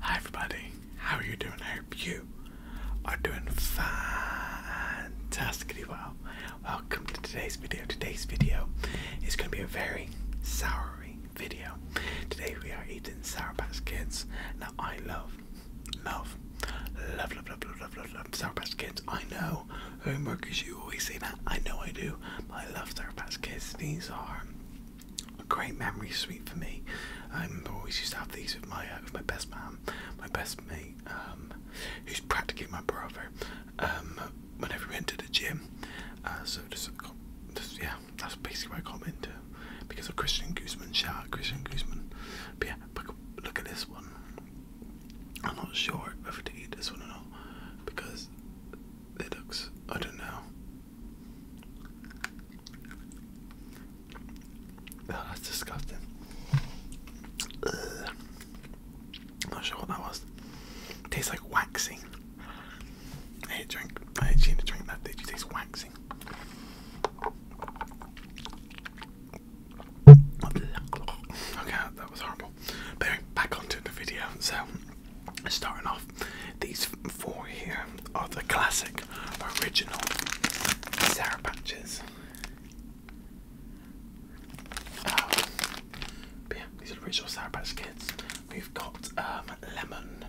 Hi everybody, how are you doing? I hope you are doing fantastically well. Welcome to today's video. Today's video is going to be a very souring video. Today we are eating Sour Patch Kids. Now I love, love, love, love, love, love, love, love, love Sour Patch Kids. I know, homeworkers, you always say that. I know I do, but I love Sour Patch Kids. These are a great memory sweet for me. I remember always used to have these with my uh, with my best man, my best mate, um, who's practically my brother. Um, whenever we went to the gym, uh, so just, yeah, that's basically where I got into because of Christian Guzman. Shout Christian Guzman. But yeah, look at this one. I'm not sure whether to eat this one or not because it looks I don't know that's disgusting. Ugh. Not sure what that was. Tastes like waxing. I hate drink. I hate you to drink that. tastes like waxing? Okay, that was horrible. anyway, back onto the video. So Starting off, these four here are the classic original Sarah patches. Um, yeah, these are original Sarah Patch Kids. We've got um, lemon,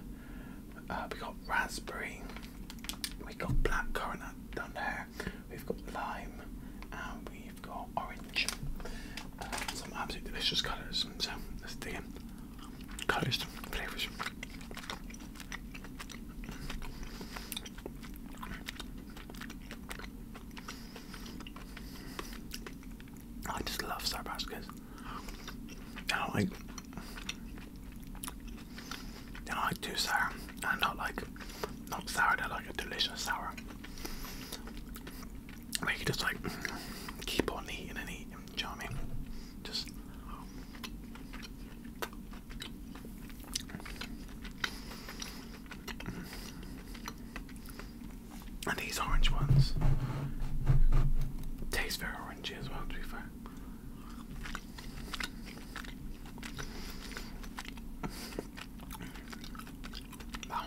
uh, we got raspberry, we've got blackcurrant down there, we've got lime, and we've got orange. Uh, some absolutely delicious colours. So let's dig in. I just love Starbucks I like they like too sour and not like not sour, they're like a delicious sour. Like you just like keep on eating and eat Chummy. Just and these orange ones taste very orangey as well, to be fair. Wow.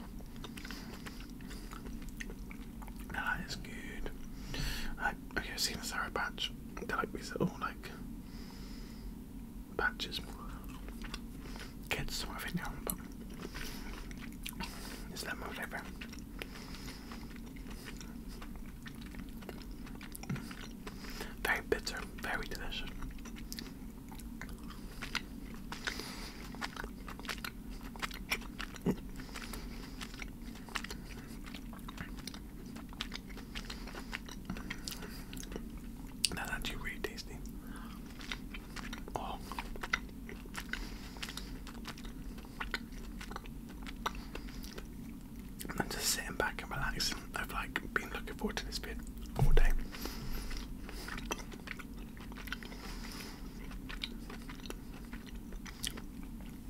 That is good. I okay, I've seen a sour patch. They're like these little like patches. Kids sort of in now, it's not my favourite. Very bitter, very delicious. That's actually really tasty. Oh. And then just sitting back and relaxing. I've like been looking forward to this bit all day.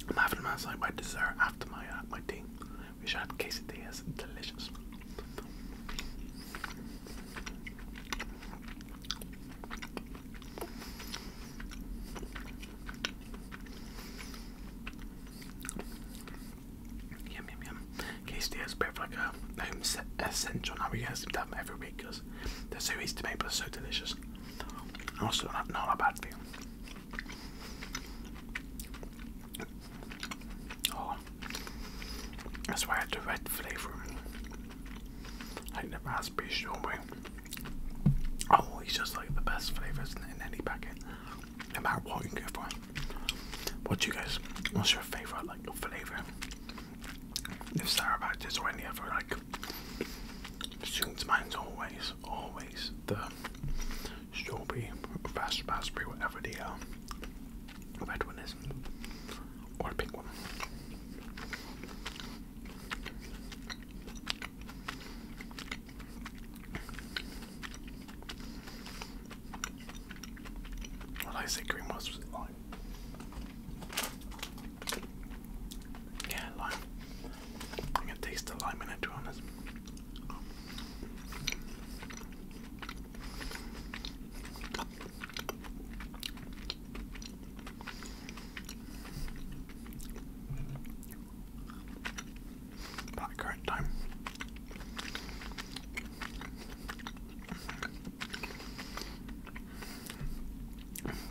I'm having them as like my dessert after my uh, my tea, which I had quesadillas, delicious. Yum yum yum. Quesadillas, bit of like a home essential. Now we guys seem to have them every week because they're so easy to make, but so delicious. Also, not, not a bad thing. Oh, that's why I had the red flavor. Like the raspberry strawberry. Oh, it's just like the best flavors in, any packet. No matter what you go for. What do you guys? What's your favorite like flavor? If Sarah about this or any other like Students' minds always, always the strawberry, raspberry, whatever the um, red one is, or a pink one. What I say green was, yeah, lime. I'm gonna taste the lime in it, to be honest. About current time.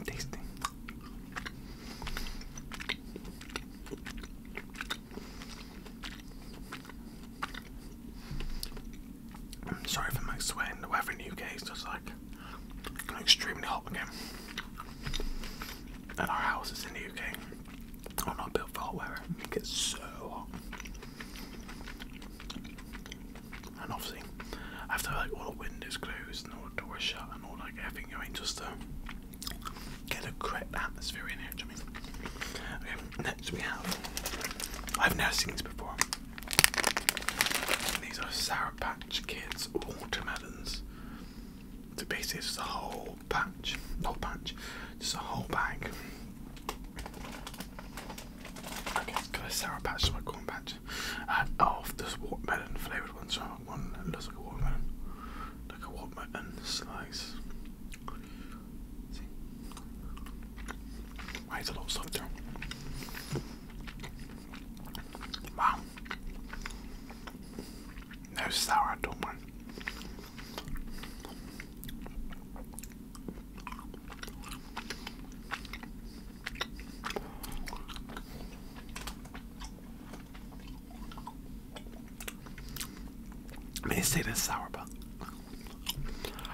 Tasting. I'm sorry for my sweating. The weather in the UK is just like extremely hot again. And our houses in the UK are not built for hot weather. It gets so hot. And obviously, I have to have like all the windows closed and all the doors shut and all like everything. I mean, just to uh, get a correct atmosphere in here. Do you I mean? next we have. I've never seen this before. These are Sour Patch Kids watermelons. So basically, it's just a whole patch, whole patch, just a whole bag. I got a Sour Patch is what corn patch I oh, this watermelon flavoured one, so I that looks like a watermelon. Like a watermelon slice. See? Why is a lot of stuff there? Wow. No sour, I don't I mean, say this sour, but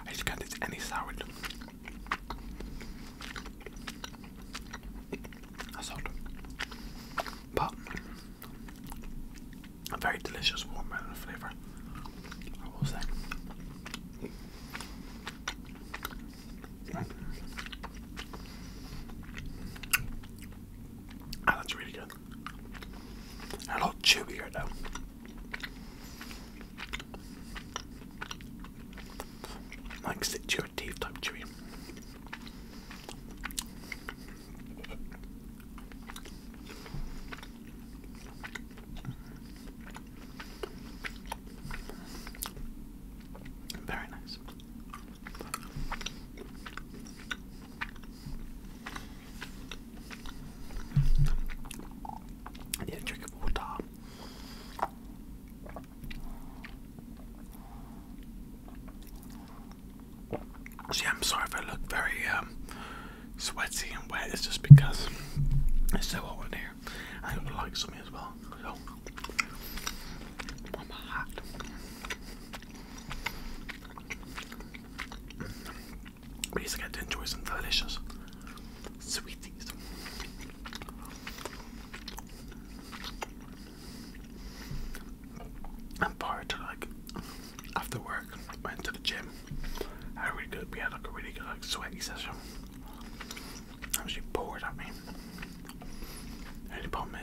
I just can't taste any sour. That's odd. But a very delicious warm and flavour, I will say. Oh, that's really good. A lot chewier though. Like stick your teeth type chewy. Very nice. Yeah, drink water. See, I'm sorry if I look very um, sweaty and wet. It's just because it's so hot in here. I would like something as well. I'm hot. Basically, I did enjoy some delicious sweeties. And prior to like after work, went to the gym. I really good. We had like a really good like sweaty session actually poured at me. The only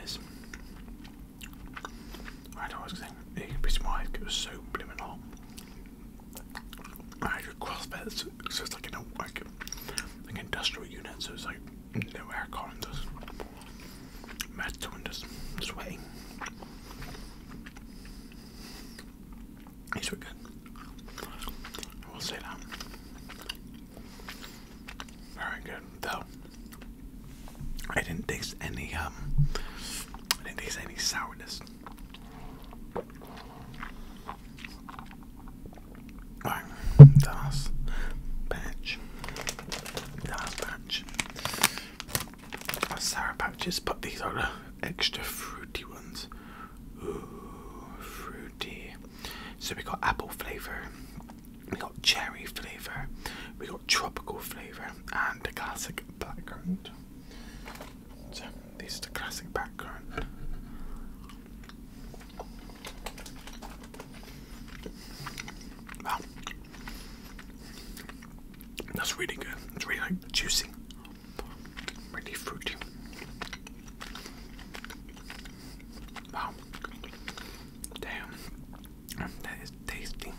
I don't know what I be surprised it was so blooming I had a crossfit, so it's like in like, like industrial unit, so it's like no aircon, just metal and just sweating. These were good. I will say that. Very good. Though I didn't taste any um, I didn't taste any sourness. Alright, das patch. Das Sour patches, but these are the extra fruity ones. Ooh, fruity. So we got apple flavour, we got cherry flavour, we got tropical flavour, and the classic background. So this is the classic background. Wow. That's really good. It's really juicy. Really fruity. Wow. Damn. That is tasty.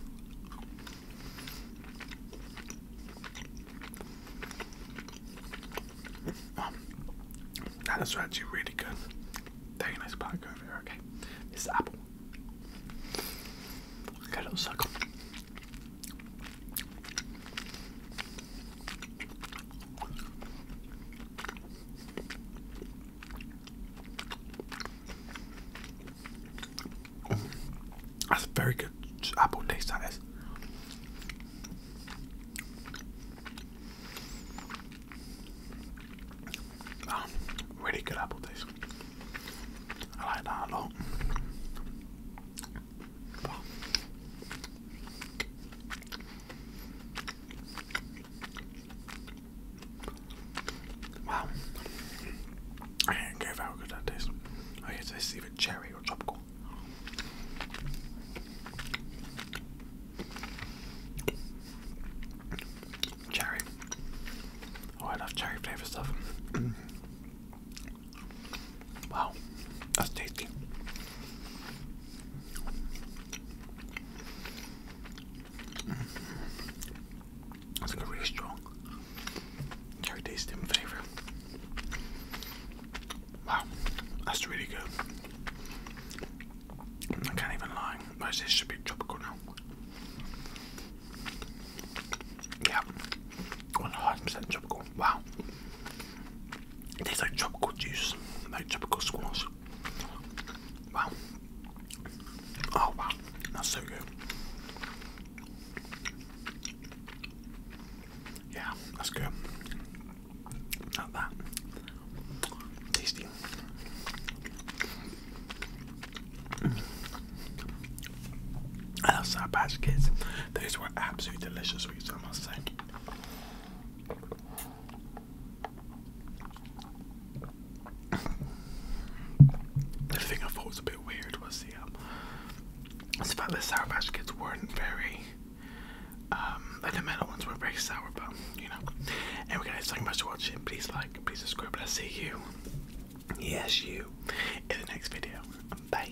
Um, that is actually really good. Very nice product over there, okay. This apple. Got a little suckle. That's very good apple taste, that is. Ah, really good apple taste. I like that a lot. Wow. I how good that tastes. I guess it's either cherry or tropical. Cherry. Oh, I love cherry flavored stuff. wow, that's tasty. Mm. That's like really strong cherry taste in flavour. Wow, that's really good. I can't even lie. this should be tropical now. Yeah, 100% tropical. Wow. It tastes like tropical juice, like tropical squash. Wow. Oh wow, that's so good. Yeah, that's good. Not that. Tasty. I love Sour Patch Kids. These were absolutely delicious sweets, I must say. The thing I thought was a bit weird was the um, the Sour mash Kids weren't very um, and the metal ones were very sour, but you know. and we Anyway, guys, thank you sour mash watching. Please like, please subscribe, I'll see you, yes, you, in the next video. Bye.